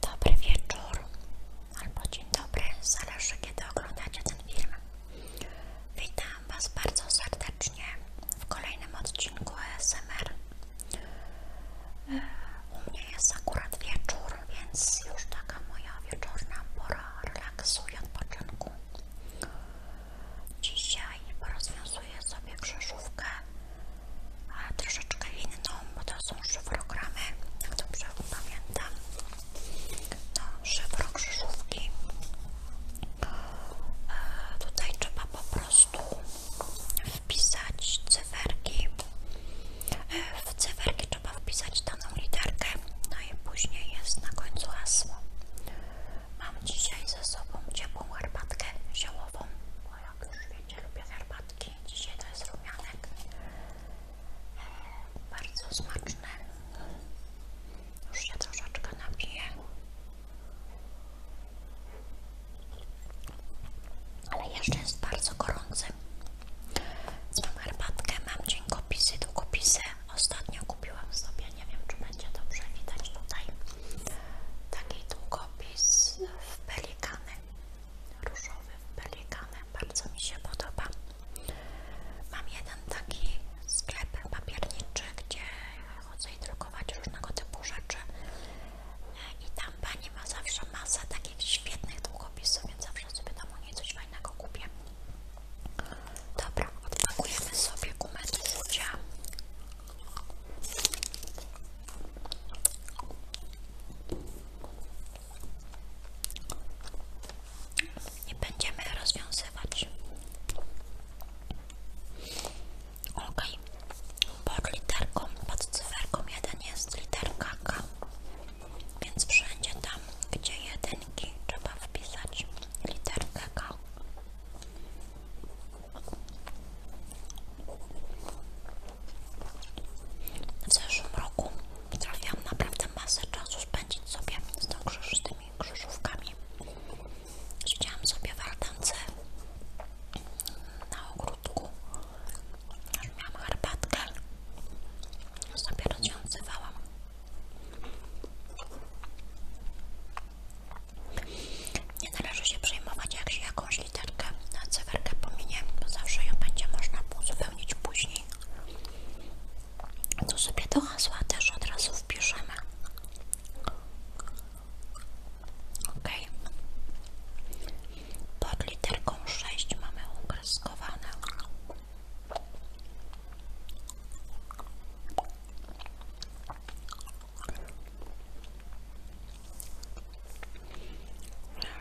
Dobry wieczór albo dzień dobry, zależy kiedy oglądacie ten film. Witam Was bardzo serdecznie w kolejnym odcinku ASMR. U mnie jest akurat wieczór, więc już taka moja wieczorna pora relaksu i odpoczynku. Dzisiaj porozwiązuję sobie krzyżówkę a troszeczkę inną, bo to są szyfrogramy, jak dobrze pamiętam. No, szyfro krzyżówki. E, tutaj trzeba po prostu wpisać cyferki. E, w cyferki trzeba wpisać daną literkę, no i później jest na końcu hasło. Mam dzisiaj ze sobą ciepłą herbatkę ziołową, bo jak już wiecie, lubię herbatki. Dzisiaj to jest rumianek. E, bardzo smaczny. Już się troszeczkę napiję. Ale jeszcze jest bardzo gorący. Mam herbatkę, mam dziękopisy, długopisy. Ostatnio kupiłam sobie, nie wiem czy będzie dobrze widać tutaj, taki długopis w pelikanem, różowym pelikanem, bardzo mi się podoba. Mam jeden taki sklep papierniczy, gdzie chodzę i drukować różnego typu rzeczy i tam pani ma zawsze masę takich świetnych długopisów, więc zawsze sobie tam u niej coś fajnego kupię. Dobra, odpakujemy sobie gumę do rzucia. I będziemy rozwiązywać. Ok, pod literką, pod cyferką 1 jest literka K, więc wszędzie tam, gdzie jedynki, trzeba wpisać literkę K. W zeszłym roku trafiłam na naprawdę masę czasu spędzić sobie z, tą krzyż, z tymi krzyżówkami. Siedziałam sobie w altance na ogródku, aż miałam herbatkę, sobie rozwiązywałam. Nie należy się przejmować, jak się jakąś literkę na cyferkę pominie, bo zawsze ją będzie można uzupełnić później. Tu sobie do hasła też od razu wpiszemy. Ok. Pod literką 6 mamy ukreskowane.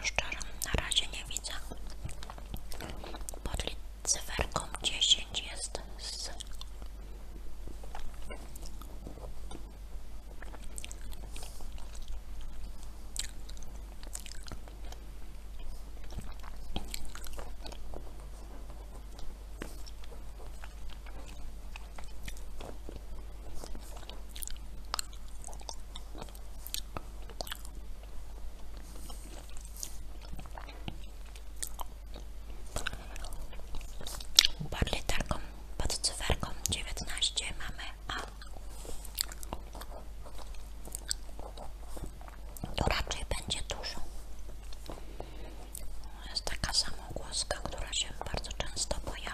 Szczerze, na razie nie widzę. Pod cyferką dziesięć jest z Bardziej taką pod cyferką 19 mamy A to raczej będzie dużo jest taka sama samą która się bardzo często pojawia.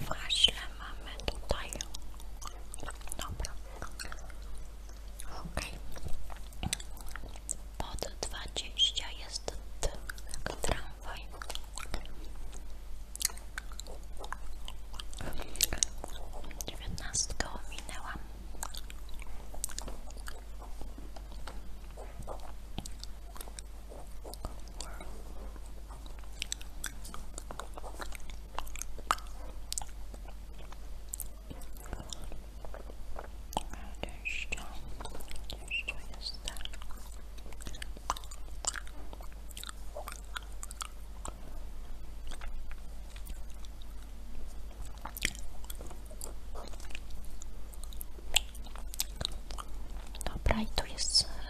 Właśnie mamy tutaj. Dobra. Okej. Okay. Pod jest ten tramwaj. Dziewiętnastkę ominęłam. Just, just twist that. Dobra, i to jest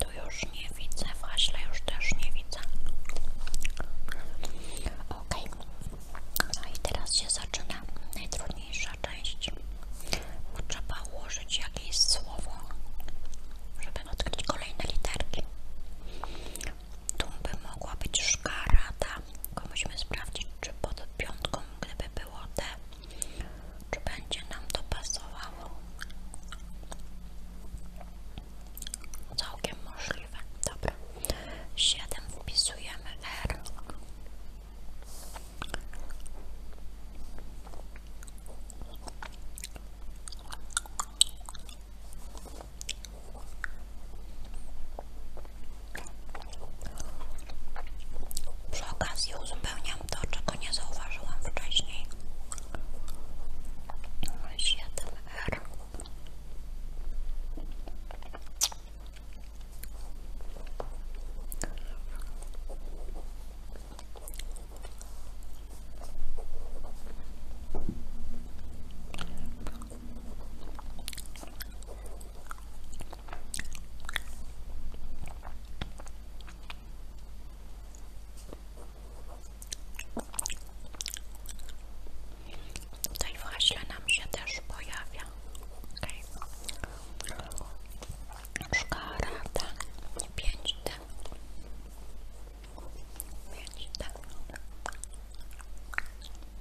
Tu już nie widzę, w już też nie widzę. Ok, a no teraz się zaczyna najtrudniejsza część. Trzeba ułożyć jakieś słowo, żeby odkryć kolejne literki tumby mogła być szkarada. Tak. Tylko musimy sprawdzić, czy pod piątką, gdyby było D, czy będzie nam to pasowało. Całkiem możliwe. Dobra. 7 wpisujemy R. Przy okazji uzupełniam to, czego nie zauważyłam wcześniej. Tutaj właśnie nam się też pojawia. Okay. Szkarata 5D. 5D.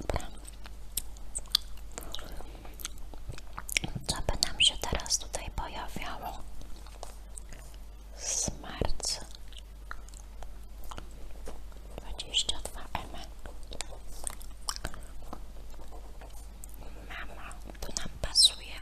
Dobra. Co by nam się teraz tutaj pojawiało? Smart 22 M. Mama, to nam pasuje.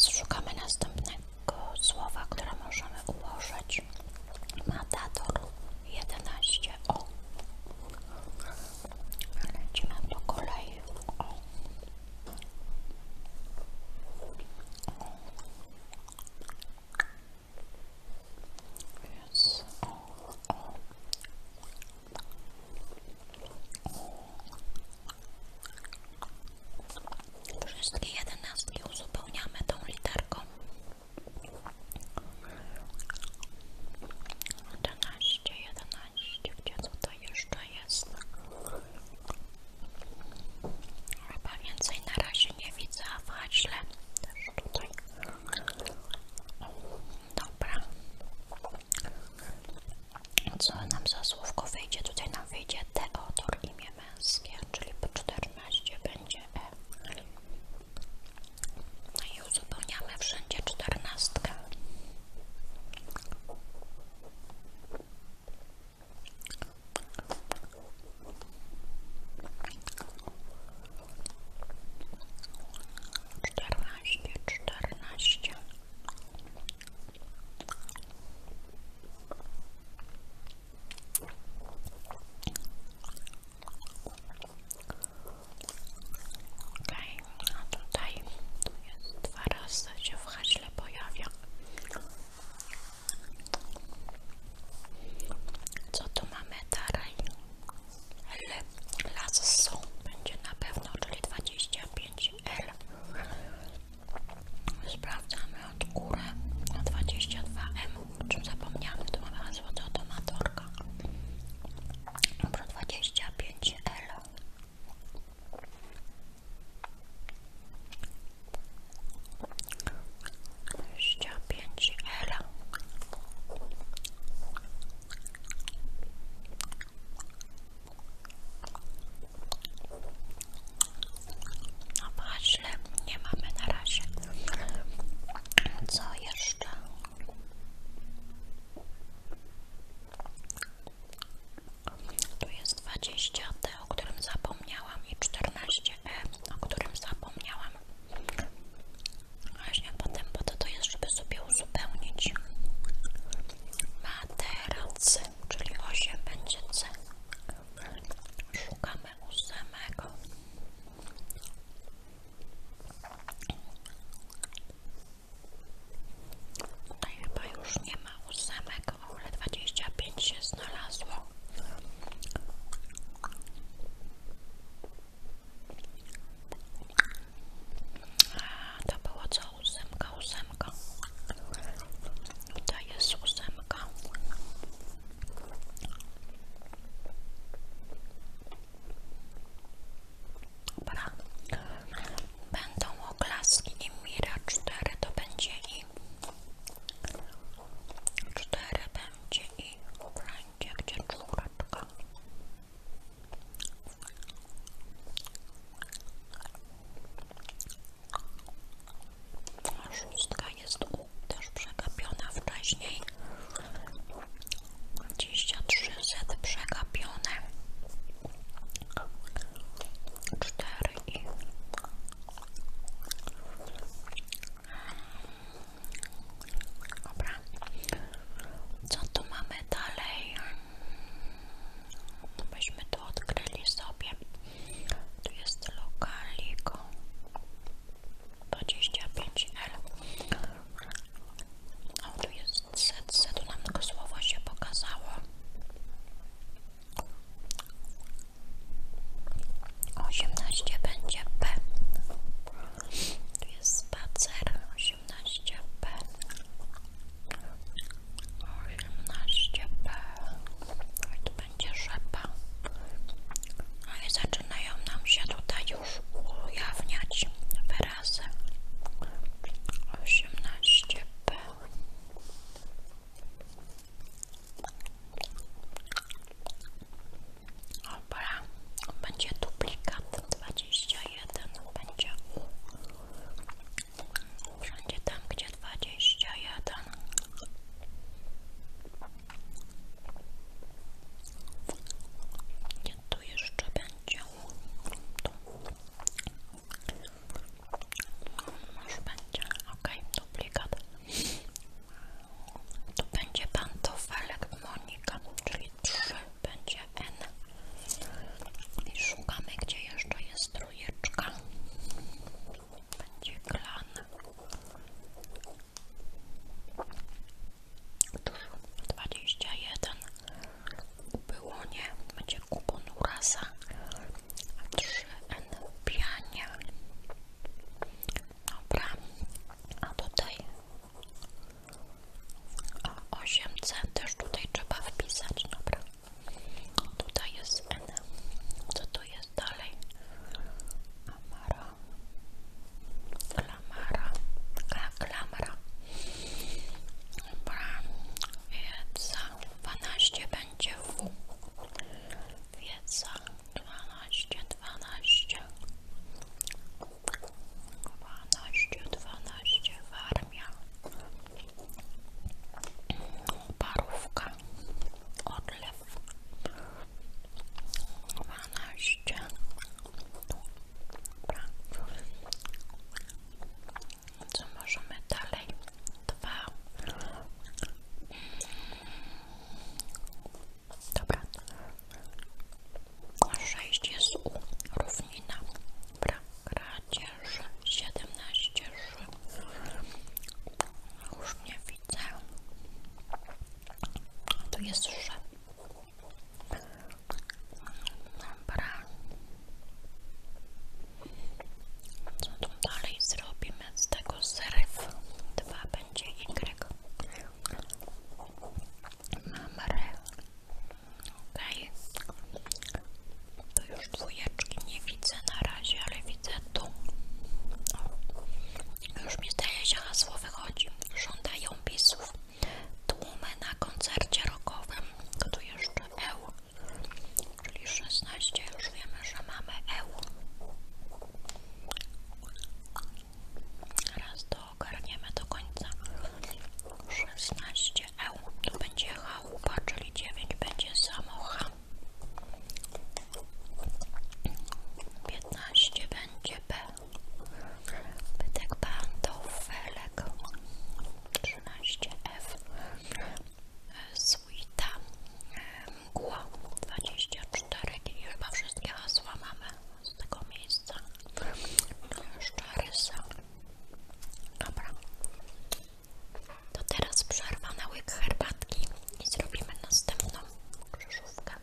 Szukamy następnego słowa, które możemy ułożyć. Matador jedenaście O. Lecimy po kolei. Więc o, Wszystkie jedenastki uzupełniamy tą literką. 11, 11, gdzie co to jeszcze jest? Chyba więcej na razie nie widzę, a w haśle też tutaj. Dobra. Co nam za słówko wyjdzie? Tutaj nam wyjdzie Teodor, imię męskie, czyli po 14 będzie E. No i uzupełniamy wszędzie czternastkę. Czternaście, czternaście. Okej, okay, no a tutaj tu jest dwa razy się w haśle pojawia. Co tu mamy dalej? L, las będzie na pewno, czyli 25 L. Sprawdzamy od góry na 22 M. O czym zapomniałem, tu mamy hasło do automatorka. Dobra, 25 L. 25 L no patrzle, nie mamy na razie co jeszcze? Tu jest 20 o którym zapomniałam i 14e, e, o którym zapomniałam właśnie potem bo to to jest, żeby sobie uzupełnić materac, czyli 8 będzie C szukamy ósemego Tutaj chyba już nie ma ósemek tylko Aule 25 się znalazło. A, to było co? Ósemka, ósemka. Tutaj jest ósemka. Dobra. Będą oklaski i Mira 4 to będzie i cztery będzie i będzie gdzie czwóreczka a szóstka jest u, też przegapiona wcześniej 23 set przegapione cztery i Dobra, co tu mamy dalej? Byśmy tu odkryli sobie. Tu jest lokaliko 25L. O, tu jest set, setu nam tego słowa się pokazało. 18 będzie B. Tu jest spacer. 18 B. 18 B. I będzie rzepa. No i zaczynają nam się tutaj już ujawniać wyrazy. 18 B. Dobra, będzie duplikat 21, będzie wszędzie tam, gdzie 21. Nie, tu jeszcze będzie. Tu. Już będzie, ok, duplikat. To będzie pantofelek Monika, czyli 3 będzie N. I szukamy, gdzie jeszcze jest trójeczka. Będzie klan. Dwadzieścia jeden było nie, będzie kupon urasa, a trzy N piania, Dobra, a tutaj o 8C też tutaj trzeba wpisać, dobra. Tutaj jest N. Co tu jest dalej? Amara. Klamara. Kla, klamara. Dobra. Wiedza. 12 będzie W. Wiedza dwanaście, dwanaście, dwanaście, dwanaście, warmia, parówka, odlew, dwanaście, dobra, co możemy dalej, dwa, Dobra. Sześć jest równina. Dobra. Kradzież 17 ży. Już nie widzę. Tu jest ży. Dobra. Co tu dalej zrobimy z tego zryw? 2 będzie Y. Mam re. Okej. Okay. Tu już dwójeczki nie widzę na razie, ale widzę tu. Już mi zdaje się hasło wychodzi. Żądają pisów. Tłumy na koncercie rockowym. Tu jeszcze eł czyli 16 już wiemy, że mamy EU raz to ogarniemy do końca 16 EU to będzie chałupa, czyli 9 będzie samocha 15 będzie B bytek pantofelek 13 F z Suita Mgła 24 i chyba wszystkie hasła mamy z tego miejsca to no, jeszcze rysa dobra to teraz przerwa na łyk herbatki i zrobimy następną krzyżówkę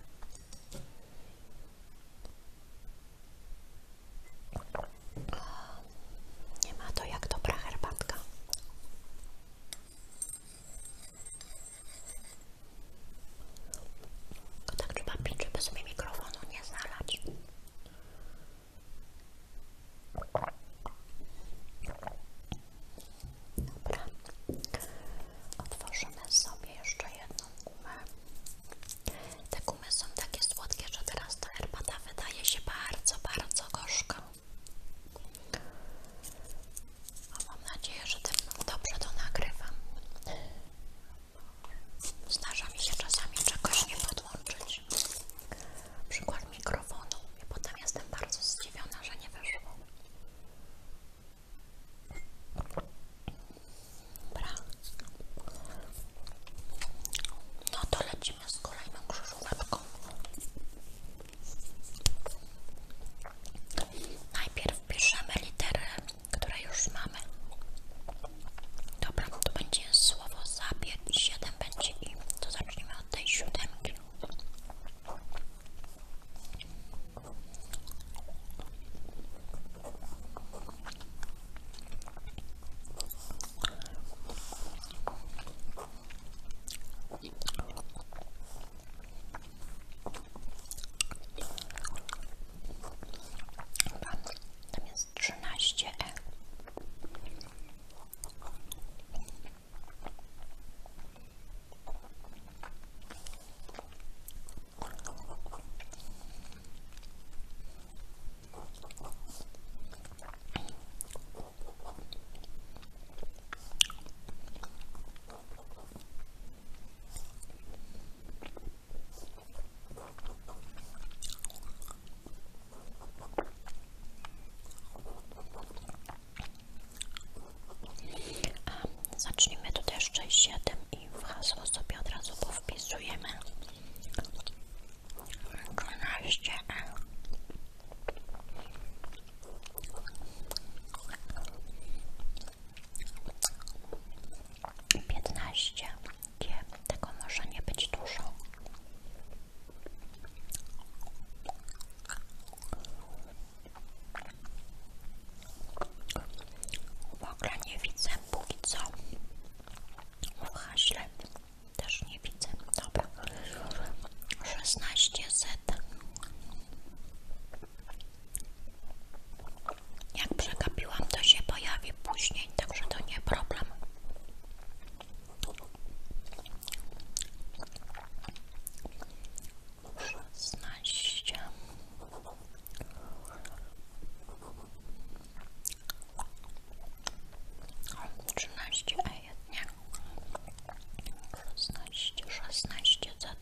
nie ma to jak dobra herbatka tylko tak trzeba pić, żeby sobie mikrofonu nie znalać. Dobra. Otworzymy sobie jeszcze jedną gumę. Te gumy są takie słodkie, że teraz ta herbata wydaje się bardzo, bardzo gorzka. A mam nadzieję, że ten dobrze to nagrywam. Zdarza mi się czasami czegoś nie podłączyć. Na przykład mikrofonu i potem jestem bardzo zdziwiona, że nie wyszło. Dobra. No to lecimy z kolejną krzyżóweczką. Najpierw piszemy literę, które już mamy. Dobra, to będzie słowo zabieg i 7 będzie i. To zaczniemy od tej siódemki. Tam jest 13 E. A, zacznijmy tutaj jeszcze 7 i w hasło sobie od razu powpisujemy 12 15 tego może nie być dużo w ogóle nie widzę póki co też nie widzę, dobra 16 z jak przegapiłam, to się pojawi później, także to nie problem. Szesnaście. Trzynaście, a jednak. 16, 16 Z.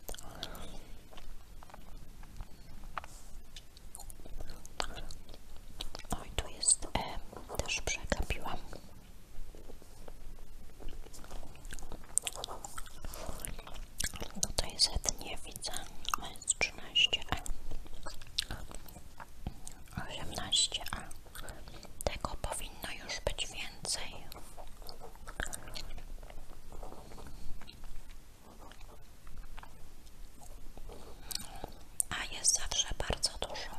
Oj, tu jest e, też przegapiłam. No Tutaj Z nie widzę, jest 13 E. 18 A. E. Tego powinno już być więcej. A jest zawsze bardzo dużo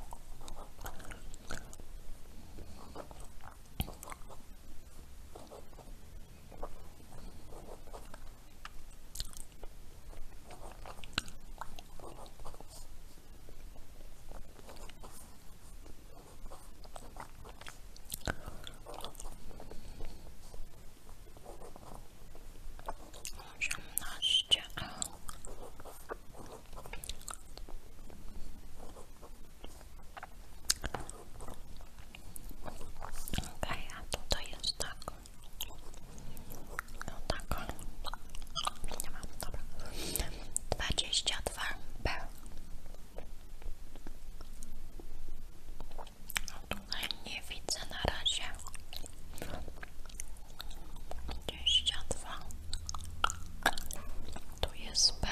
osiemnaście Okej, okay, a tutaj jest tak. No tak. Nie mam, dobra. 22 B. Tutaj nie widzę na razie. 22. Tu jest B.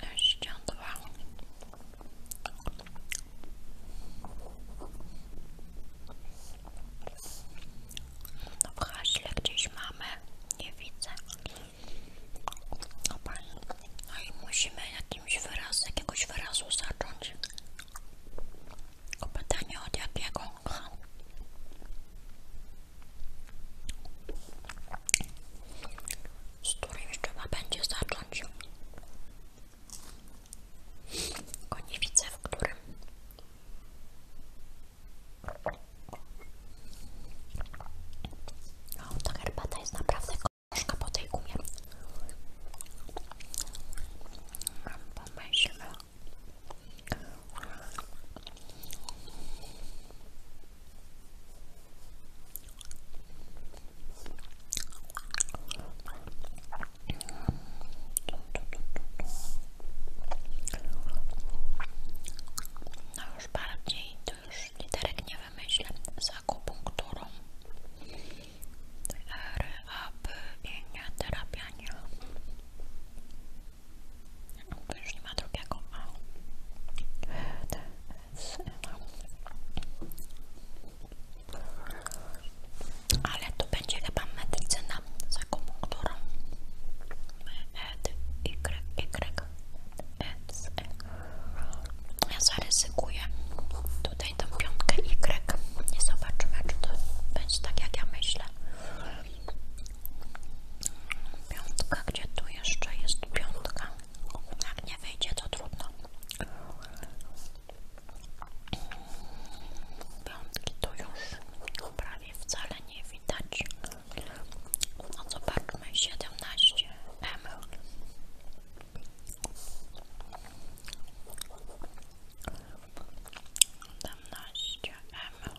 Dwadzieścia dwa, no w haśle gdzieś mamy, nie widzę. a no musimy jakimś wyrazem, jakiegoś wyrazu zacząć. Tylko pytanie od jakiego? Z którymś trzeba będzie zacząć. Go nie widzę, w jest naprawdę gorzka po tej gumie. Pomyślmy. No już bardziej, to już literek nie wymyślę, z akupunkturą. R, A, B, i nie, już nie ma drugiego A. No ale to będzie chyba medycyna, za którą Ed, Y, Y, Ed, ja zaryzykuję tutaj tą piątkę Y nie zobaczymy, czy to będzie tak jak ja myślę piątka, gdzie tu jeszcze jest piątka jak nie wyjdzie to trudno Piątki to już prawie wcale nie widać. No zobaczmy, 17 M. Siedemnaście M.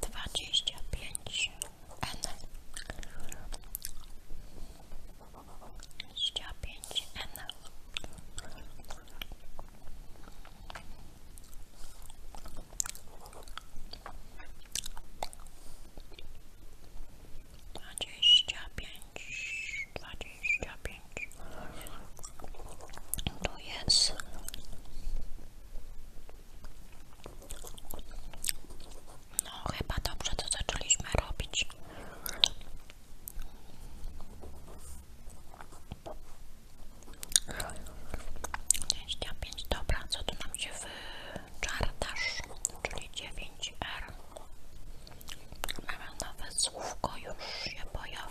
dwadzieścia pięć N dwadzieścia pięć N dwadzieścia pięć dwadzieścia 25 tu jest no chyba dobrze to zaczęliśmy robić pięć dobra, co tu nam się wyczartasz, czyli dziewięć r mamy nawet słówko, już się pojawia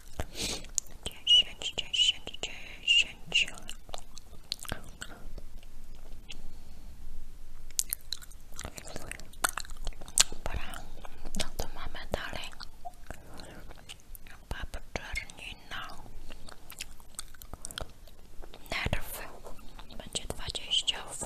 dziesięć, dziesięć, dziesięć Dobra, co tu mamy dalej? Bab czernina Nerw Będzie dwadzieścia w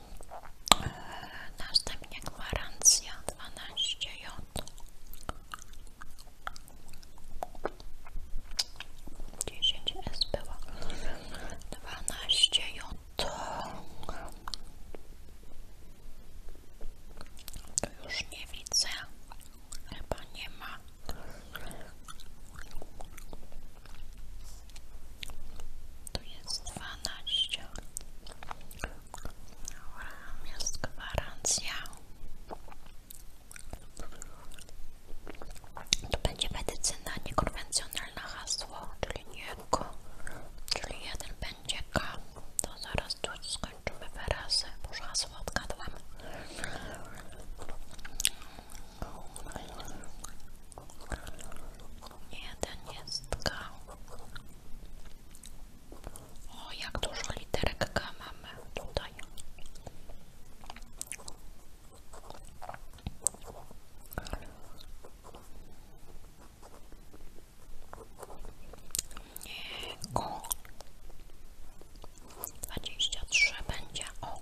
Następnie gwarancja dwanaście j Dziesięć S było. 12 J. To już nie widzę. Chyba nie ma. Tu jest 12. Jest gwarancja. To będzie medycyna niekonwencjonalna hasło, czyli nie K, czyli jeden będzie K. To zaraz tu skończymy wyrazy, bo już hasło odgadłam jeden jest K. O, jak dużo literek K mamy tutaj. Nie, Q. 23 będzie O.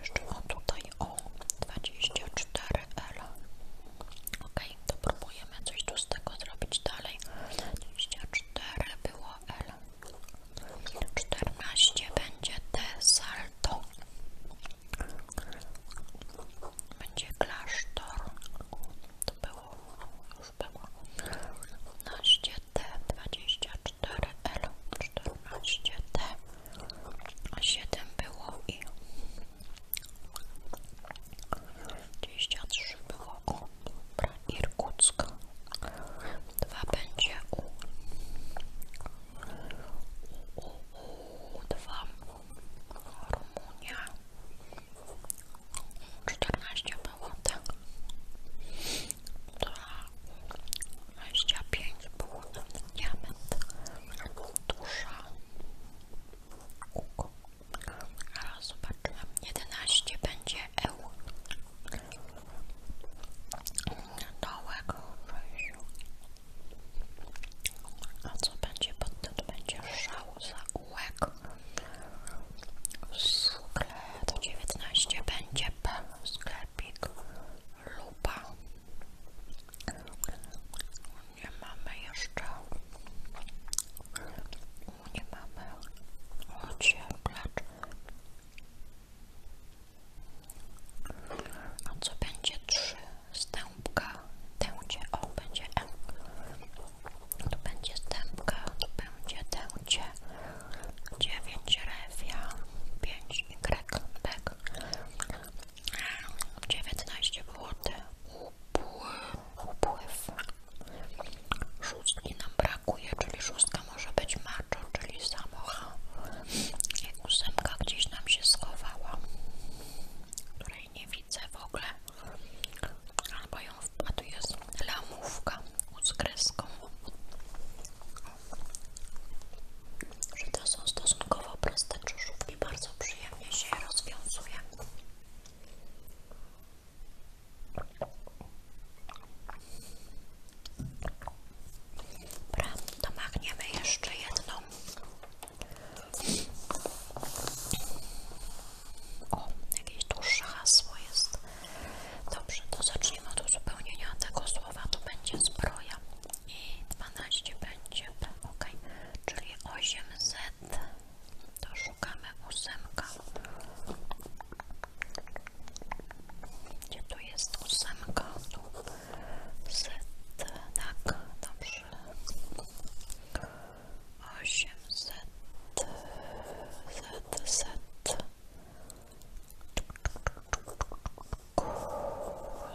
jeszcze, o tutaj, o 24L. Ok, to próbujemy coś tu z tego zrobić dalej. 24 było L. 14 będzie T salto. Będzie klasztor. To było już było. 15 T24 4L 14T a 7 było i 23 było u dobra, Irkucka będzie u u, u Rumunia 14 było tak 2 25 było na diament duża kółko ale 11 będzie euro dołek a co będzie pod tym? będzie szał za ułek to 19 będzie sklep sklepik nie mamy jeszcze. Nie mamy ocieplacz. A co będzie trzy stępka? Tęcie, o będzie M. Tu będzie stępka, tu będzie tęcie. 9 refia, 5 y, bek, 19 zł, upływ, upływ, szóstki nam brakuje, czyli szóstka może być maczo, czyli samocha i ósemka gdzieś nam się schowała, której nie widzę w ogóle, albo ją wpadł jest lamówka z kreską że to są stosunkowo proste krzyżówki, bardzo przyjemnie się je rozwiązuje. Dobra, domagniemy jeszcze jedną. O, jakieś dłuższe hasło jest. Dobrze, to zacznijmy od uzupełnienia tego słowa. To będzie zbroja i 12 będzie P, ok. Czyli 8Z to szukamy ósemka. Gdzie tu jest ósemka? Tu Z, tak, dobrze. 8Z, Z, Z.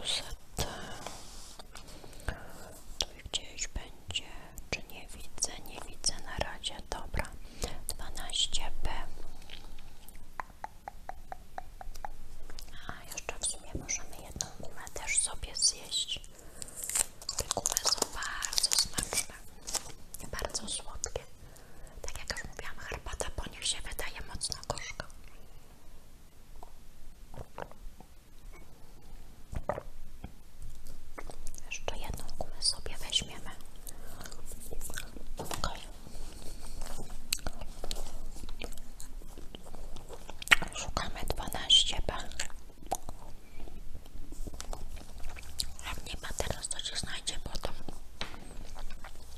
Z tu gdzieś będzie, czy nie widzę, nie widzę na razie, dobra, 12B a jeszcze w sumie możemy jedną gumę też sobie zjeść te gumy są bardzo smaczne bardzo słodkie tak jak już mówiłam, herbata po nich się wydaje mocno gorzka. Jeszcze jedną gumę sobie weźmiemy. Okay. Szukamy 12 b. Jak nie ma teraz, to się znajdzie to.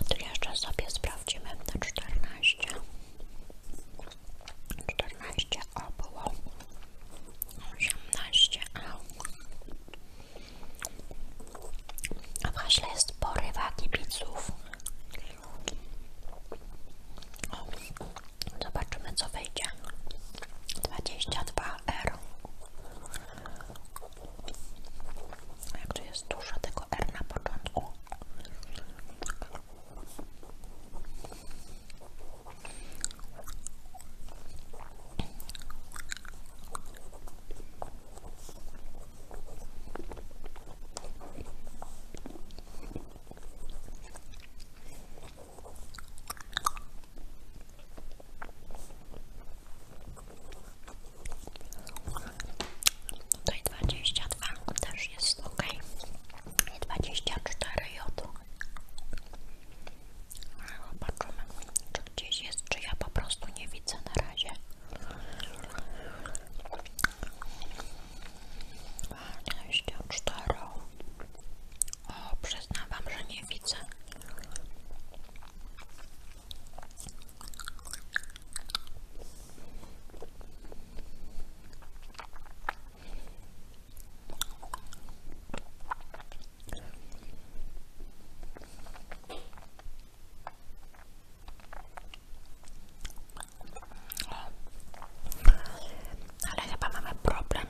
A jeszcze sobie sprawdzimy na czternaście 14 o było 18 a. A w haśle jest porywa kibiców. O. Zobaczymy co Dwadzieścia dwa R. Jak tu jest dużo tego R Tutaj no 22 też jest ok. I 24 jodu. No, zobaczymy, czy gdzieś jest, czy ja po prostu nie widzę na razie. Dwadzieścia cztero. O, przyznam wam, że nie widzę. Ale chyba mamy problem.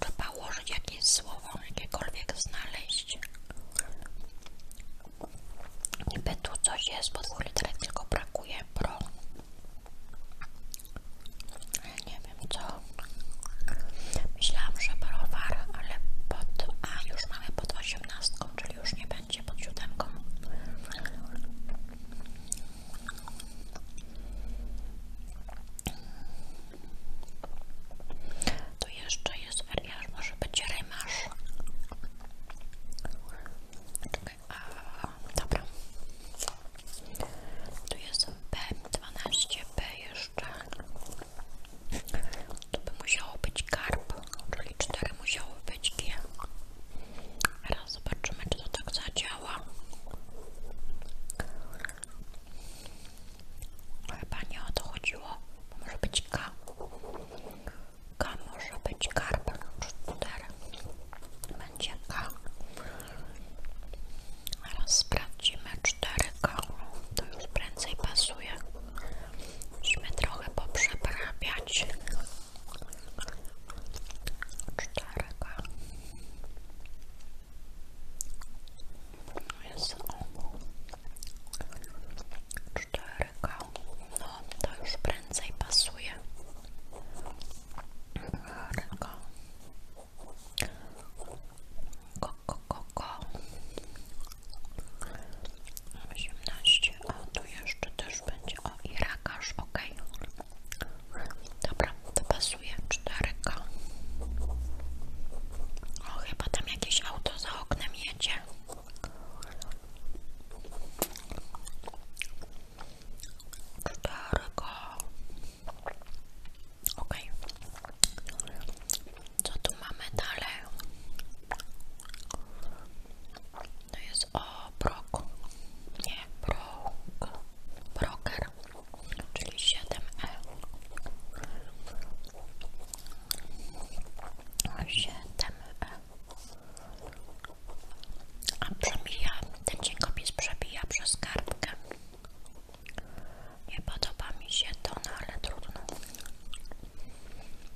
Trzeba ułożyć jakieś słowo, jakiekolwiek znaleźć. Niby tu coś jest, bo tylko brakuje, pro. Nie wiem co. Myślałam, że browar, ale pod... A, już mamy pod osiemnastką, czyli już nie będzie jeszcze jest Eliasz, może być Rymarz. Okay, a, dobra. Tu jest B12, B jeszcze. To by musiało być karp, czyli 4 musiało być G. Teraz zobaczymy, czy to tak zadziała. Chyba nie o to chodziło. Może być K. K może być karp. 4. Będzie K. Teraz sprawdzimy 4K. To już prędzej pasuje. Musimy trochę poprzeprawiać czterka. No jest obu. Czterka. No, to już prędzej pasuje. Czterka. Ko, ko, 18, o tu jeszcze też będzie, o i ok. Dobra, to pasuje, 4 O, chyba tam jakieś auto za oknem jedzie. Czterko. Okej. Co tu mamy dalej? To jest o Nie, brok. Broker, czyli 7E. 7E. A przemija, ten dziękopis przebija przez kartkę. Nie podoba mi się to, no ale trudno.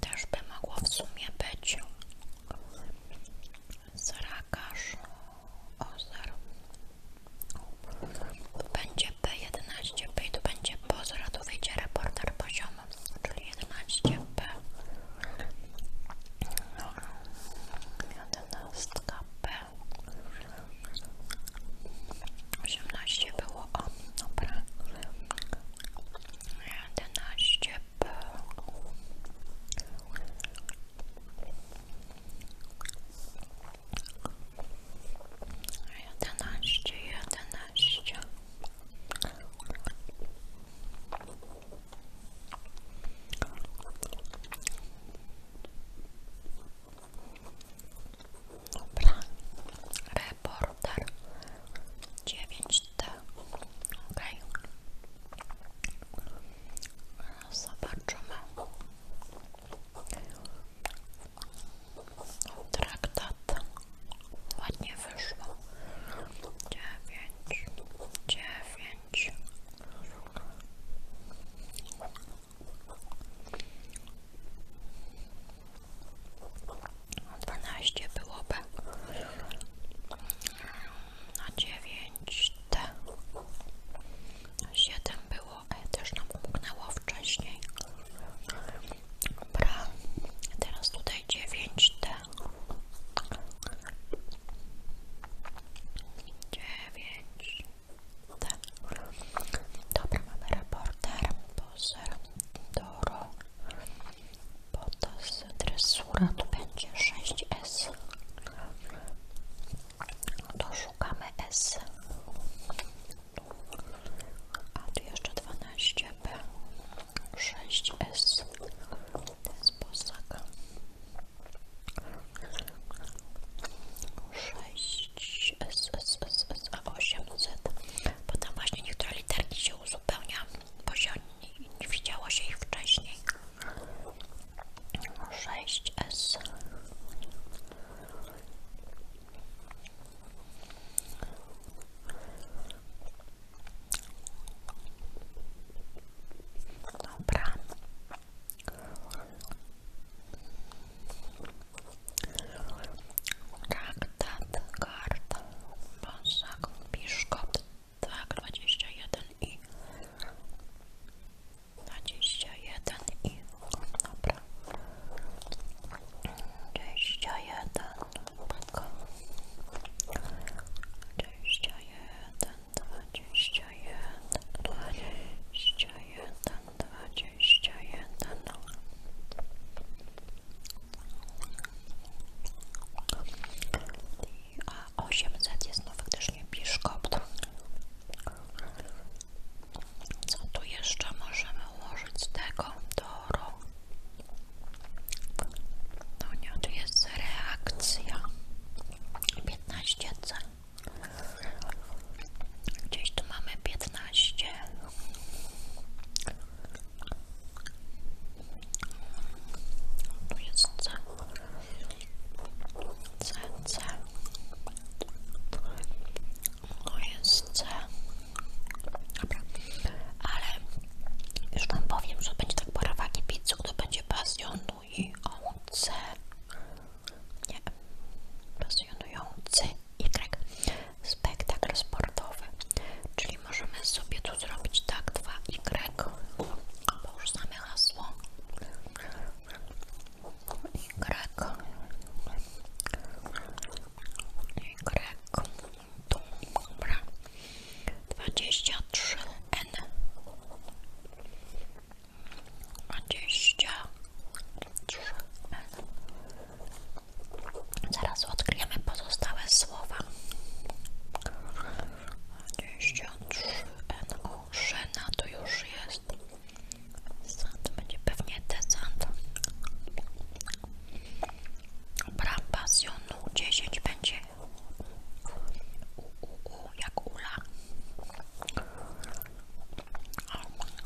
Też by mogło w sumie być Zarakarz Ozer. Będzie P11, P i tu będzie Pozor, a wyjdzie reporter poziomu, czyli 11P. 11P. No, 18 było o, dobra 11 było jedenaście, jedenaście Dobra, reporter 9 Ok. zobaczymy. Traktat ładnie wyszło. 9, 9 dwanaście byłoby na dziewięć T siedem było, e też nam umknęło wcześniej dobra, teraz tutaj dziewięć dziewięć tak. Dobra, mamy reporter, Doro, potas, dresura, tu będzie sześć s To szukamy S. A tu jeszcze dwanaście b sześć s To sześć z, z, z, z, a 8 z. Potem właśnie niektóre literki się uzupełnia, bo się nie, nie widziało się ich wcześniej. 6 S. Dobra. Traktat kart Bosak Piszkot tak, jeden i 21 i dobra jeden dwadzieścia jeden dwadzieścia jeden dwadzieścia jeden no. a jest nowy, gdyż nie co tu jeszcze możemy ułożyć z tego toru? no nie, tu jest reakcja 15C Gdzieś tu mamy 15. Tu jest C. C, C. Tu jest C. Dobra. Ale już Wam powiem, że będzie tak pora wagi pizzy, to będzie pasjonu no i o C nie, pasjonujący Y, spektakl sportowy, czyli możemy sobie tu zrobić tak 2Y, albo już znamy hasło Y, Y, tu, dobra, 23N 23 N Zaraz odkryjemy pozostałe słowa. N NO, Szena to już jest. Sand będzie pewnie desant. Brambazjonu dziesięć będzie u, u, u, jak ula.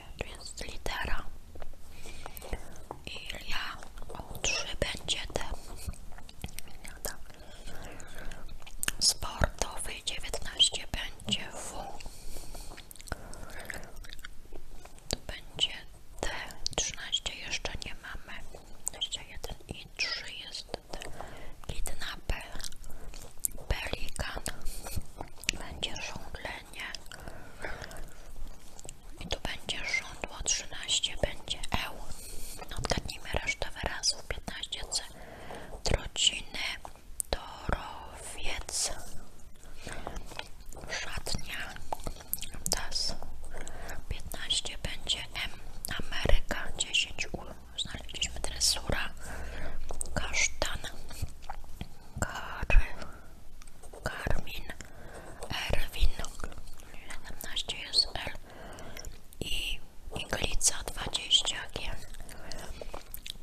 oczywiście, więc litera i ja U3 będzie ten sportowy 19 będzie W będzie T 13 jeszcze nie mamy jeden i trzy jest T kidnapper pelikan będzie żądlenie i to będzie żądło 13, będzie eł. Odgadnijmy resztę wyrazów 15c. Trociny, torowiec, szatnia, das. 15 będzie M, Ameryka, 10 U. Znaleźliśmy dresura, kasztan, Kar, Karmin, Erwin, 17 jest L i Iglica 20 G.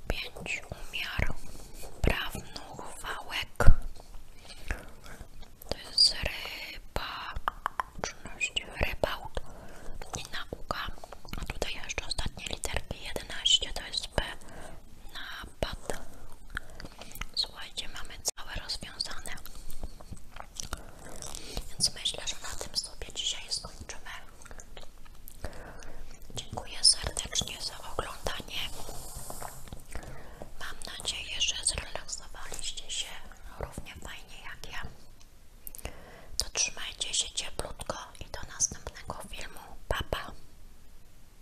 5 umiar prawnuchwałek wałek. To jest ryba, czynności rybałt i nauka. A tutaj jeszcze ostatnie literki 11 to jest P. Napad. Słuchajcie, mamy całe rozwiązane. Więc myślę, że na tym sobie dzisiaj skończymy. Dziękuję serdecznie za oglądanie. Mam nadzieję, że zrelaksowaliście się równie fajnie jak ja. To trzymajcie się cieplutko i do następnego filmu. Pa,